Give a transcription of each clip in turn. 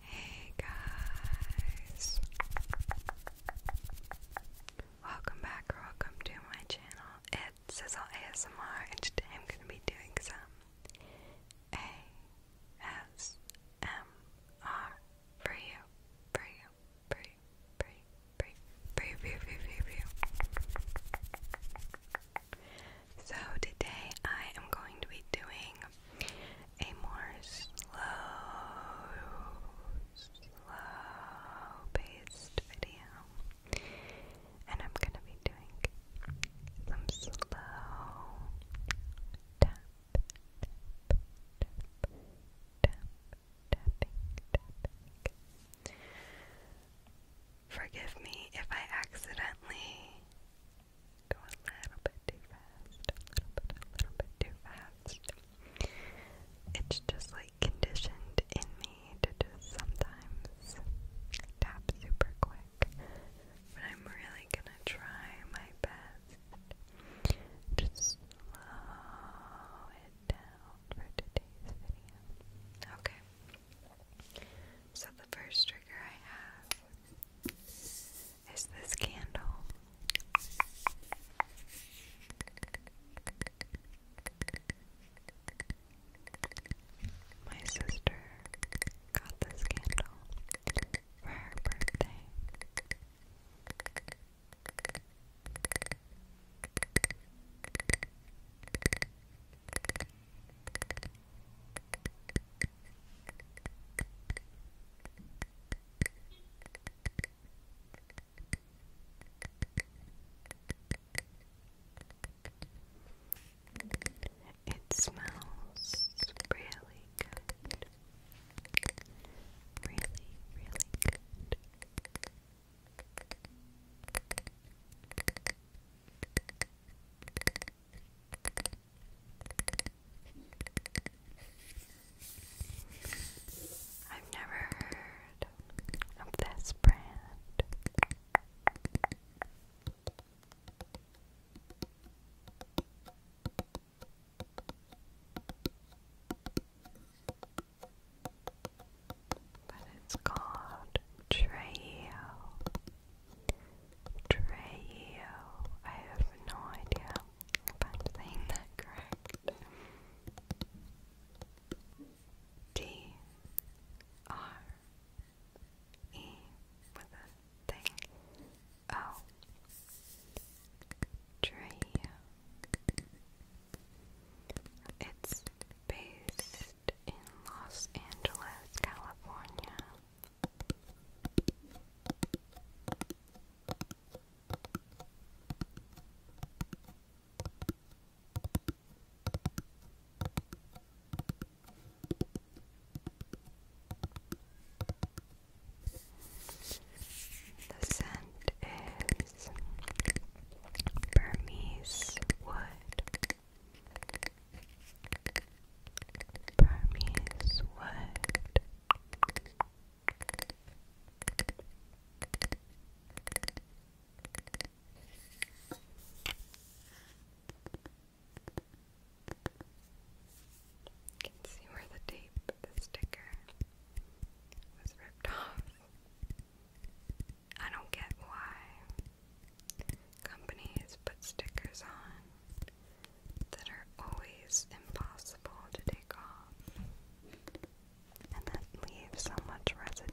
Hey guys! Welcome back or welcome to my channel. It's Sizzle ASMR and today I'm going to be doing some ASMR for you, for you, for you, for you, for you, for you, for you, for you. So today I am going to be doing a more slow, slow paced video. And I'm gonna be doing some slow tapping. Forgive me if I accidentally go a little bit too fast, a little bit, a little bit too fast. It's just like conditioned in me to just sometimes tap super quick, but I'm really gonna try my best to slow it down for today's video. Okay. So the first trigger I have is this candle. My sister got this candle for her birthday. It smells really good. Really, really good. I've never heard of this brand. But it's called Treo. Treo. I have no idea if saying that correct. D R E with a thing. Oh. Treo. It's based in Los Angeles, California. The scent is Burmese wood. Burmese wood. can see where the tape, the sticker, was ripped off. I don't get why Companies put stickers on that are always impossible to take off, and that leave so much residue.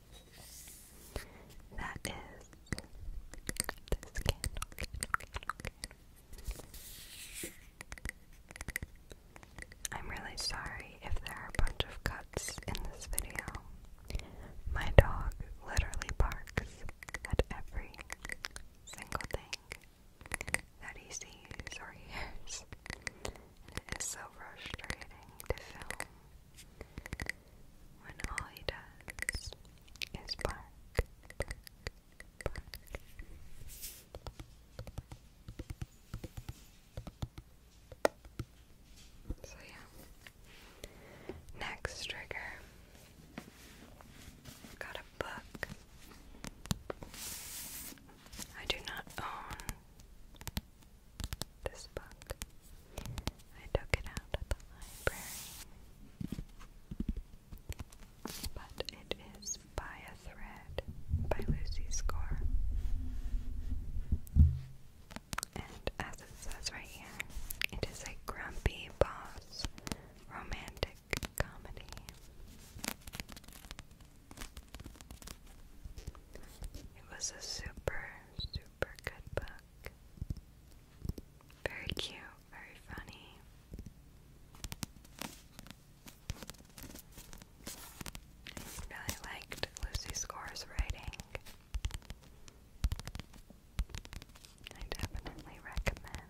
that is this candle, I'm really sorry if there are a bunch of cuts in this video. My dog literally barks at every single thing that he sees or hears. it is so frustrating to film when all he does is bark, So yeah. Next trigger. Got a book. I do not own this book. I took it out of the library. But it is By a Thread by Lucy Score. And as it says right here, it is a grumpy boss romantic comedy. It was a super, super super good book. Very cute, very funny. really liked Lucy Score's writing. I definitely recommend.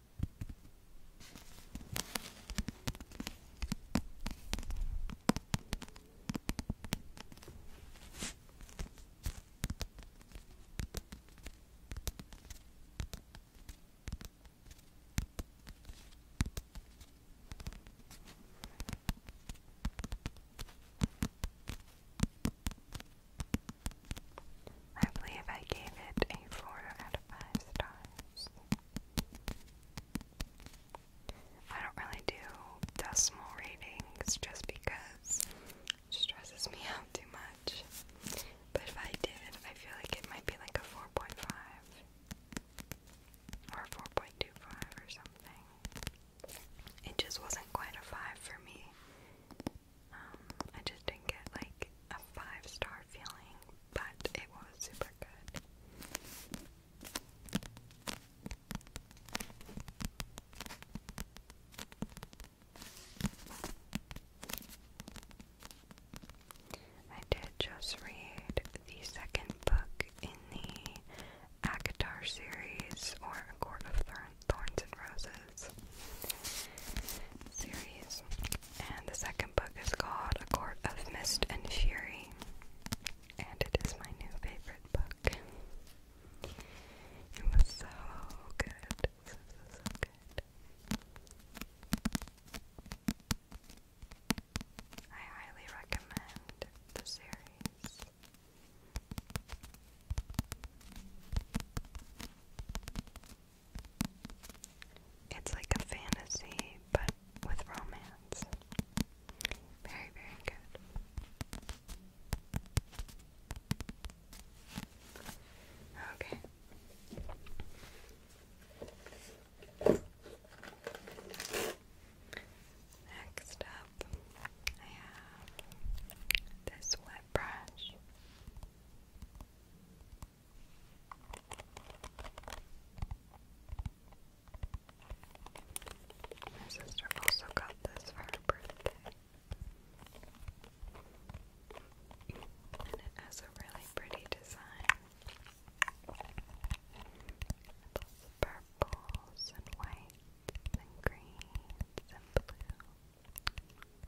I believe I gave it a four out of five stars. I don't really do decimal readings just because it stresses me out too much. But if I did, I feel like it might be like a 4.5 or 4.25 or something. It just wasn't quite a 5 for me. Um, I just didn't get like a five star feeling, but it was super good. I did just read the second book in the Akatar series, or A Court of Thorns and Roses series, and the second book is called A Court of Mist and Fury, and it is my new favorite book. It was so good. So, so, so good. I highly recommend the series. It's like a fantasy, but with romance. Very, very good. Okay. Next up, I have this wet brush. My sister also got this for her birthday. And it has a really pretty design. Lots of and whites and greens and blue.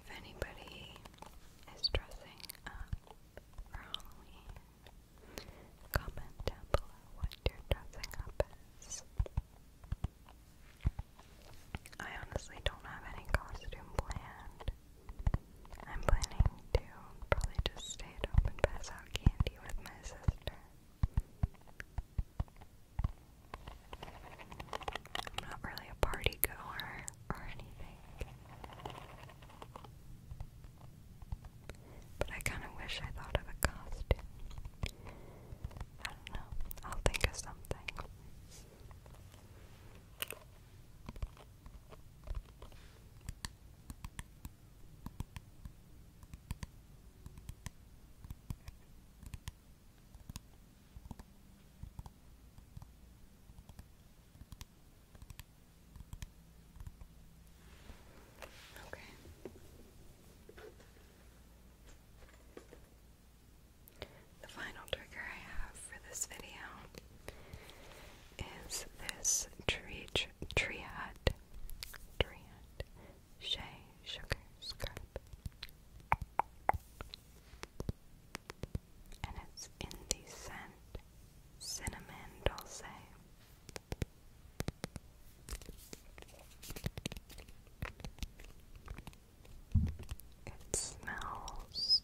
If anybody is dressing up for Halloween, comment down below what you're dressing up as. I honestly don't have any costume planned. I'm planning to probably just stay at home and pass out candy with my sister. I'm not really a party goer or anything. But I kind of wish I thought of a costume. I don't know. I'll think of something. Okay. The final trigger I have for this video is this tree tr tree hut, shea sugar scrub, and it's in the scent cinnamon dulce. It smells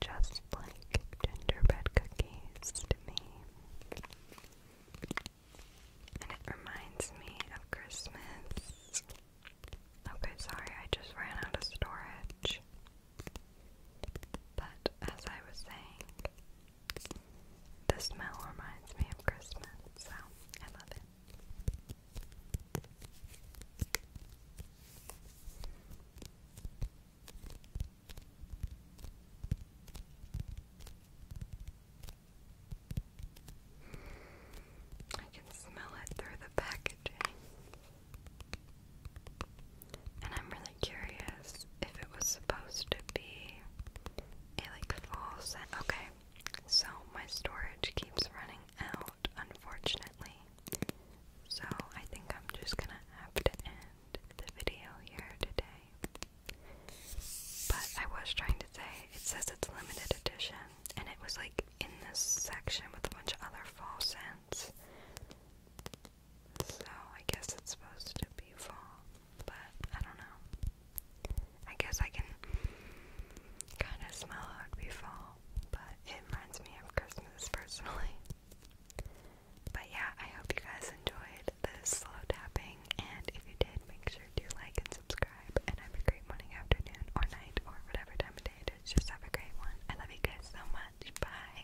just like gingerbread cookies to me. And it reminds me of Christmas. Okay, sorry, I just ran out of storage. But as I was saying, the smell reminds me of Christmas, so I love it. I can smell it through the packaging. And I'm really curious if it was supposed to be a like fall scent. Okay, so my storage keeps running out, unfortunately. So I think I'm just gonna have to end the video here today. But I was trying to say it says it's limited edition, and it was like in this section with a bunch of other fall scents. So I guess it's supposed to be fall, but I don't know. I guess I can kind of smell it be fall, but it reminds me of Christmas personally. But yeah, I hope you guys enjoyed this slow tapping, and if you did, make sure to like and subscribe, and have a great morning, afternoon, or night, or whatever time of day it is. Just have a great one. I love you guys so much. Bye.